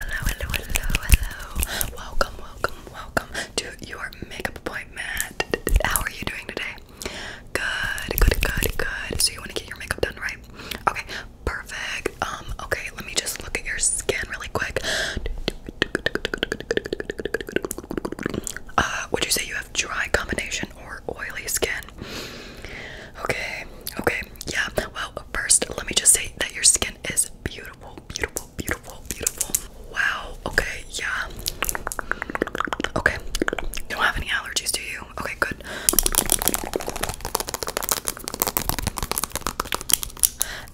Hello, hello, hello, hello. Welcome, welcome, welcome to your makeup appointment. How are you doing today? Good, good, good, good. So you want to get your makeup done, right? Okay, perfect. Um, okay, let me just look at your skin really quick. Uh, would you say you have dry combination or oily skin? Okay, okay, yeah. Well, first, let me just say that your skin skin is beautiful, beautiful, beautiful, beautiful. Wow. Okay. Yeah. Okay. Don't have any allergies, do you? Okay. Good.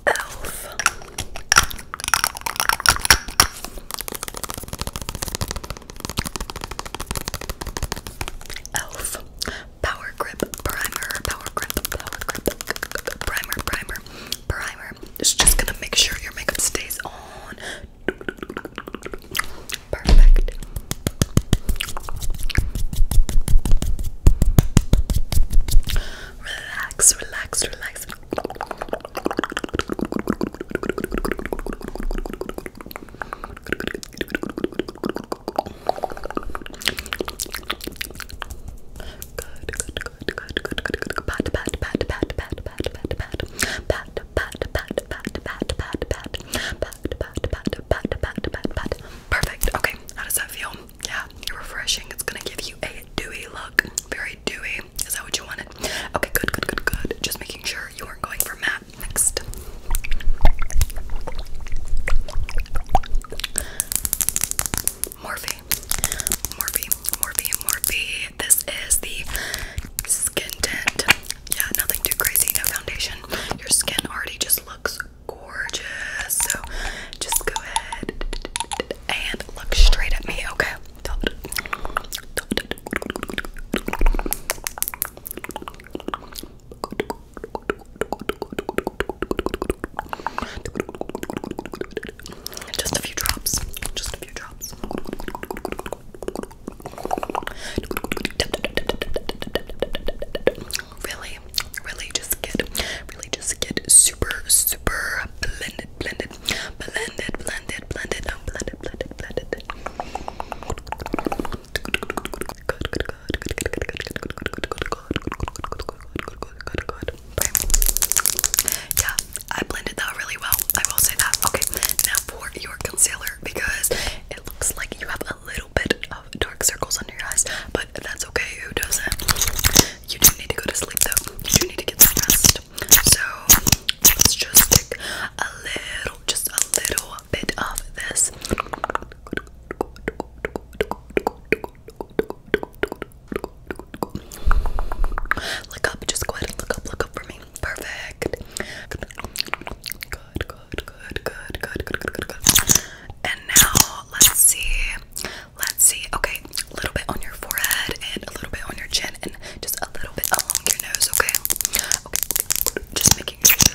Elf. Elf. Power Grip Primer, Power Grip, Power Grip Primer, Primer, Primer. It's just gonna make sure your makeup stays on. Perfect. Relax, relax, relax pat Perfect. Okay, how does that feel? Yeah, It's refreshing. It's gonna give you a dewy look. Very dewy. Is that what you wanted? Okay, good, good, good, good. Just making sure you are not going for matte. Next. Morphe. Morphe, Morphe, Morphe. This is the skin tint. Yeah, nothing too crazy, no foundation. Your skin already just looks gorgeous. So just go ahead and look straight at me, okay? Just a few drops. Just a few drops. Really, really just get, really just get super, super blended, blended, blended, blended, blended, blended, blended, yeah, I blended that really well. I will say that. Okay, now for your concealer because it looks like you have a little bit of dark circles under your eyes, but that's okay. Who doesn't? You do need to go to sleep though. You do need to get some rest. So let's just stick a little, just a little bit of this Look up, just go ahead and look up, look up for me. Perfect. Good, good, good, good, good, good, good, good, good. And now let's see. Let's see. Okay, a little bit on your forehead and a little bit on your chin and just a little bit along your nose, okay? Okay. Just making sure.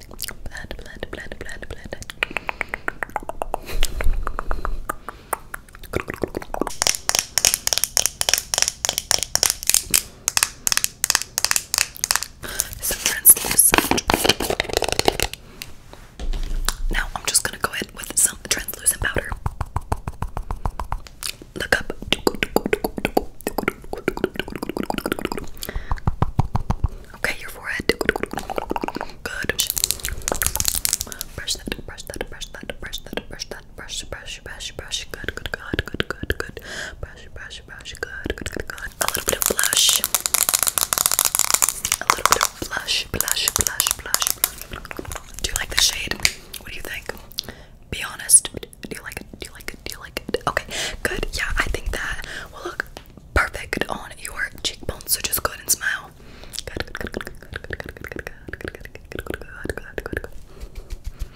blend, blend, Now I'm just gonna go ahead with some translucent powder. Look up. Okay, your forehead. Good. Brush that, brush that, brush that, brush that, brush that, brush, brush, brush, brush. Good, good, good, good, good, good. Brush, brush, brush. Good, good, good, good. A little bit of blush. A little bit of blush, blush, blush, blush. Do you like the shade? What do you think? Be honest. Do you like it? Do you like it? Do you like it? Okay, good. Yeah, I think that will look perfect on your cheekbones. So just go ahead and smile. Good, good, good, good, good, good, good, good, good, good, good, good, good, good, good, good.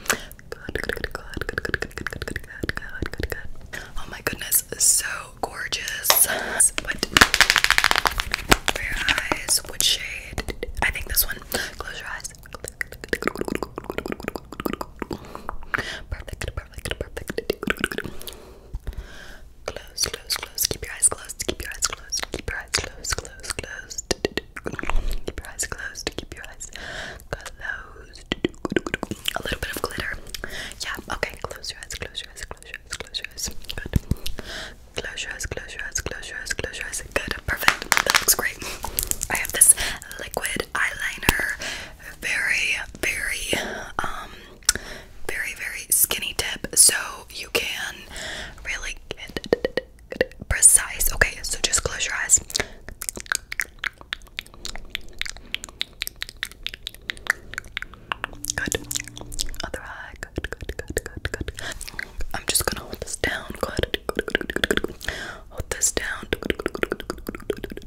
Good, good, good, good, good, good, good, good, good, good, good, good. Oh my goodness, so gorgeous. What for your eyes? What shade? I think this one. Close your eyes. Perfect, perfect, perfect, perfect. Close, close, close. Keep your eyes closed. Keep your eyes closed. Keep your eyes closed. Close, closed. Keep your eyes closed. Keep your eyes closed. A little bit of glitter. Yeah. Okay. Close your eyes. Close your eyes. Close your eyes. Close your eyes. Good. Close your eyes. Close your eyes. Close your eyes. Close your eyes. Good. Perfect. That looks great. I have this liquid eyeliner, very, very, um, very, very skinny tip, so you can really get precise. Okay, so just close your eyes. Good. Other eye. Good, good, good, good, good. I'm just gonna hold this down. Good. Hold this down.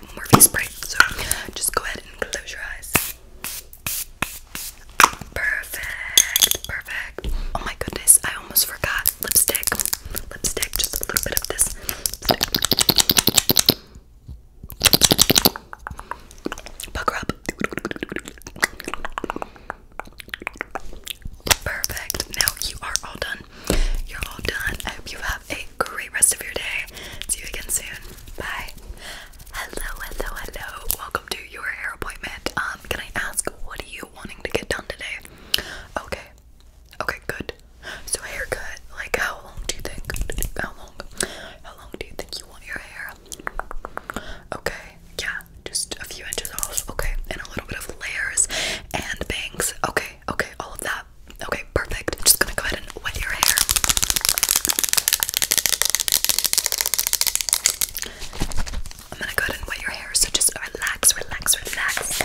the Morphe spray. So just go ahead and close your eyes. Perfect, perfect. Oh my goodness, I almost forgot lipstick. Lipstick, just a little bit of this. Pucker up. Perfect. Now you are all done. You're all done. I hope you have a great rest of your day. See you again soon. Bye. Hello, hello, hello. Welcome to your hair appointment. Um, can I ask what are you wanting to get done today? Okay. Okay, good. So haircut, like how long do you think? How long? How long do you think you want your hair? Okay, yeah, just a few inches off. Okay, and a little bit of layers and bangs. Okay, okay, all of that. Uh, okay, perfect. I'm just gonna go ahead and wet your hair. I'm gonna go ahead and wet your hair, so just relax, relax, relax.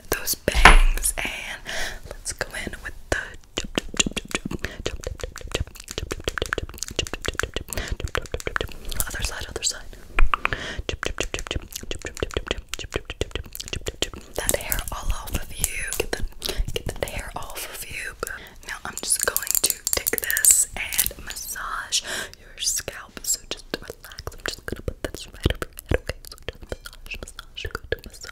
those bangs and let's go in with the other side, other side. That hair all off of you. Get the get that hair off of you. Now I'm just going to take this and massage your scalp. So just relax. I'm just gonna put this right over your head. Okay, so just massage, massage, go to massage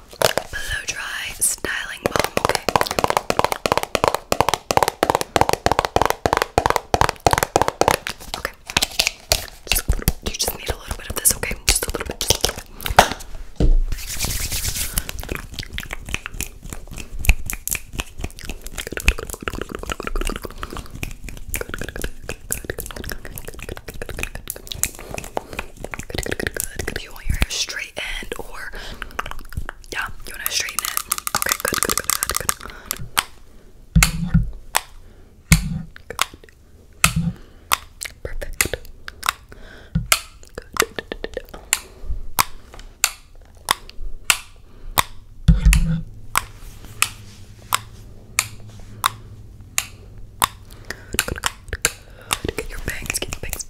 blow dry styling balm. Okay. Okay. you just need a little bit of this. Okay. Just a little bit. Good, good, You want your hair straightened or yeah, you wanna straighten it. Okay, good, good, good, good, good. Perfect. Good. Good, good, good, good, Good. Get your bangs, get your bangs,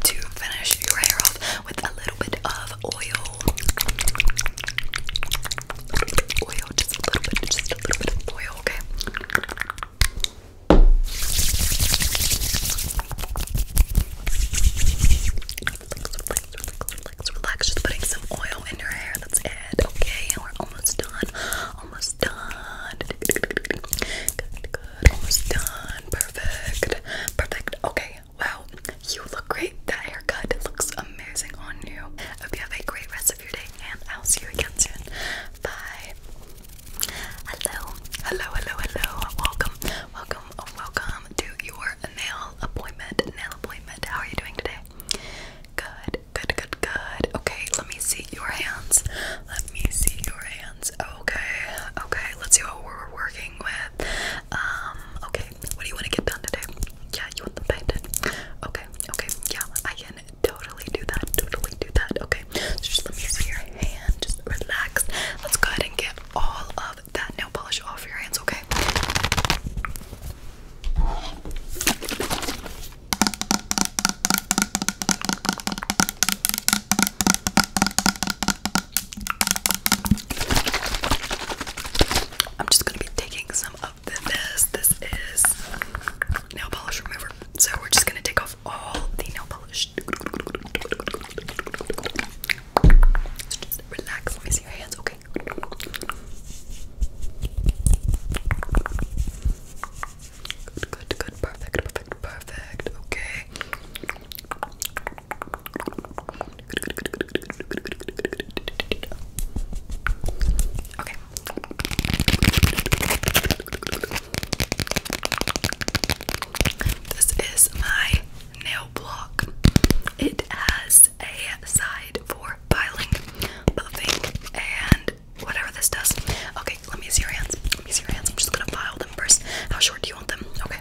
to finish your hair off with a little bit of oil. oil, just a little bit, just a little bit of oil, okay? relax, relax, relax, relax. Just putting some oil in your hair. That's it. Okay, and we're almost done. Almost done. Good, good. Almost done. Perfect. Perfect. Okay. Wow. You look great. That haircut looks amazing on you. hope you have a great rest of your day, and I'll see you again soon. Bye. Hello, hello, hello, hello. Welcome, welcome, welcome to your nail appointment. Nail appointment. How are you doing today? Good, good, good, good. Okay, let me see your hands. Let me see your hands. Okay, okay, let's see what we're working with. Um, okay, what do you want to get done today? Yeah, you want them painted? Okay, okay, yeah, I can totally do that, totally do that. Okay, just let me see your hand, just relax. Let's go ahead and get all of that nail polish off your hands, okay? I'm just going to be taking some of the this. This is nail polish remover. So we're just going to take off all the nail polish. Just relax. Let me see your hands. Okay. Good, good, good, perfect, perfect, perfect. Okay. Okay. This is my nail block. It has a side for filing, buffing, and whatever this does. Okay, let me see your hands. Let me see your hands. I'm just gonna file them first. How short do you want them? Okay.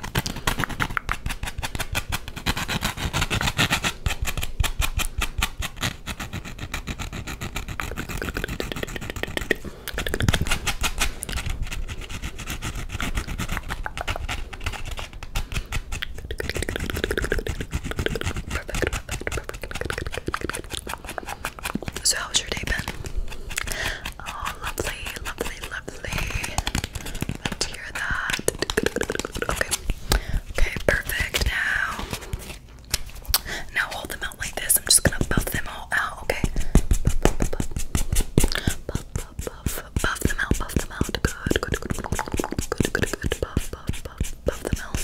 So how was your day Ben? Oh, lovely, lovely, lovely. Love to hear that. Okay, okay, perfect. Now, now hold them out like this. I'm just gonna buff them all out. Okay buff, buff them out, buff them out. Good, good, good, good, good, good, good. Buff, buff, buff, buff them out.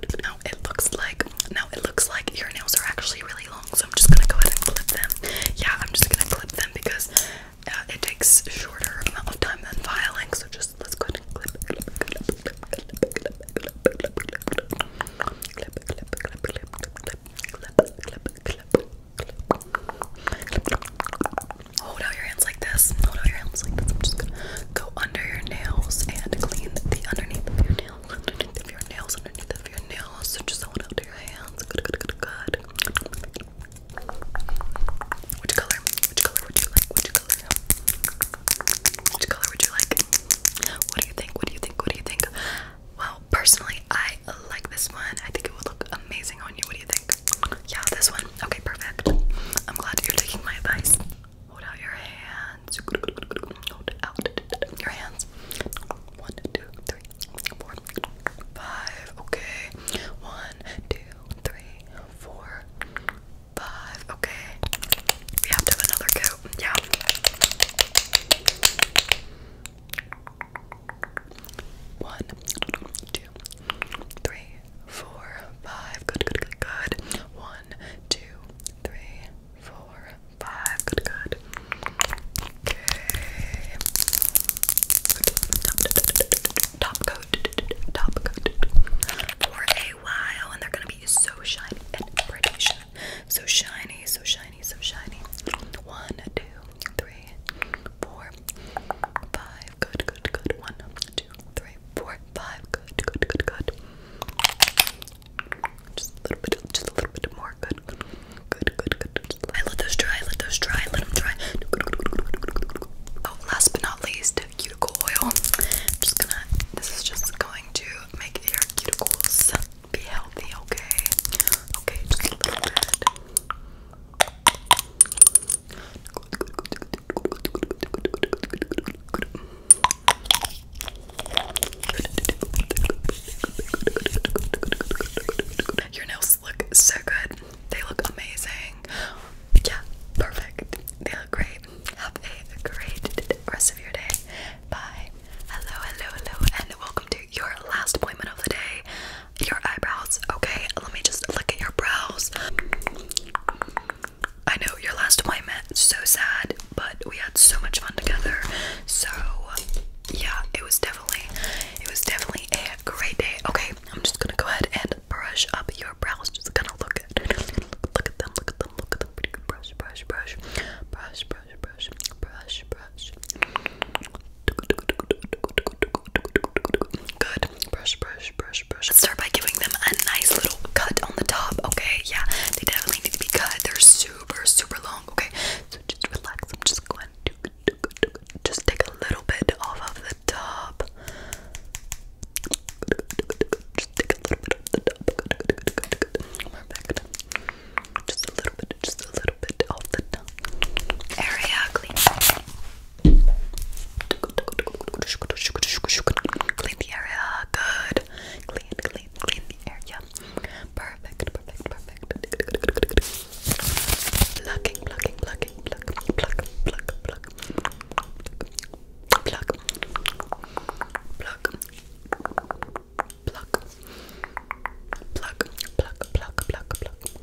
Good, good. Now it looks like, now it looks like your nails are actually really long, so I'm just gonna go ahead and clip them. Yeah, I'm just gonna clip them because it takes shorter amount of time than filing. So just let's go ahead and clip, clip, clip, Hold out your hands like this. Hold out your hands like this. I'm just gonna go under your nails and clean the underneath of your nails, underneath of your nails, underneath of your nails. So just hold out your hands. Good, good, good, good. Which color? Which color would you like? Which color? Which color would you like? What do you think? What do you think? What do you think? Well, personally, I like this one. I think it would look amazing on you. What do you think? Yeah, this one. Okay, perfect. I'm glad you're taking my advice. Hold out your hands. Hold out your hands. One, two, three, four, five. Okay. One, two, three, four, five. Okay. We have to another go. Yeah. One, two, three, four, five. Good, good, good, good. One, two, three, four, five. Good, good. Okay. Top coat, top coat for a while, and they're gonna be so shiny and pretty shiny. So shiny, so shiny, so shiny. One, two, three, four, five. Good, good, good. One, two, three, four, five. Good, good, good, good. Just a little bit, just a little bit more. Good, good, good, good. good. I let those dry. Let those dry. Let them dry. Oh, last but not least, cuticle oil. just gonna. This is just going to make your cuticles be healthy. Okay. Okay. Your nails look so good. They look amazing. Yeah, perfect. They look great. Have a great rest of your day. Bye. Hello, hello, hello, and welcome to your last appointment of the day your eyebrows, okay? Let me just look at your brows. I know your last appointment, so sad, but we had so much fun together. So yeah, it was definitely it was definitely a great day. Okay, I'm just gonna go ahead and brush up your brows. Just gonna look at look at them, look at them, look at them. Brush, brush, brush, brush, brush, brush, brush, brush, Good. Brush, brush, brush, brush. Let's start by giving them a nice little cut on the top, okay? Yeah, they definitely need to be cut. They're super, super long, okay? So just relax. I'm just going to just take a little bit off of the top. Just take a little bit off the top. Just a little bit, just a little area clean. Clean the area, good. Clean, clean, clean the area. Perfect, perfect, perfect. Plucking, plucking, plucking, pluck, pluck, pluck, pluck, pluck, pluck, pluck, pluck, pluck, pluck, pluck, pluck.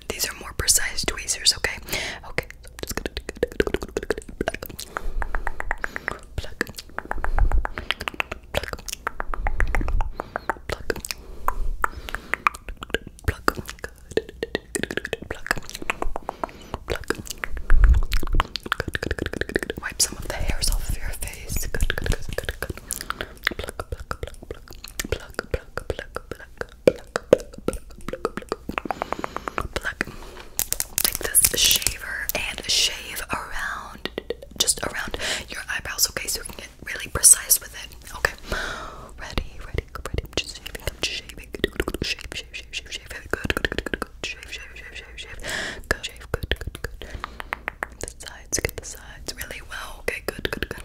these are more precise tweezers, okay? Okay. Wipe some of the hairs off of your face pluck, take this shaver and shave around, just around your eyebrows, okay? So we can get really precise with it, okay? Ready, ready, ready. I'm just shaving, I'm just shaving. Shave, shave, shave, shave, shave. Good, good, good, good, good. Shave, shave, shave, shave, shave. Good, shave, good, good, good. The sides, get the sides really well, okay? Good, good, good.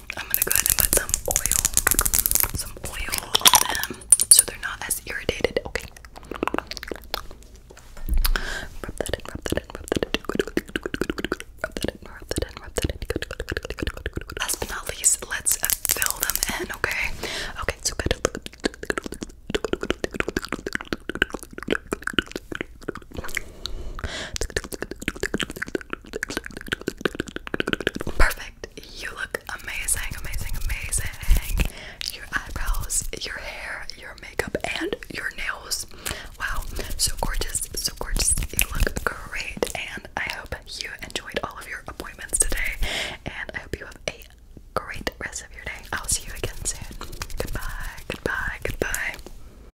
I'm gonna go ahead and put some oil, some oil on them so they're not as irritated. Okay. Rub that in, rub that in, rub that in. Rub that in, rub that in, rub that in. Last but not least, let's fill them in, okay? Okay, so good. Perfect. You look amazing, amazing, amazing. Your eyebrows, your hair, your makeup, and your nails. Wow. So gorgeous, so gorgeous. You look great. And I hope you enjoyed all of your appointments today. And I hope you have a great rest of your day. I'll see you again soon. Goodbye, goodbye, goodbye.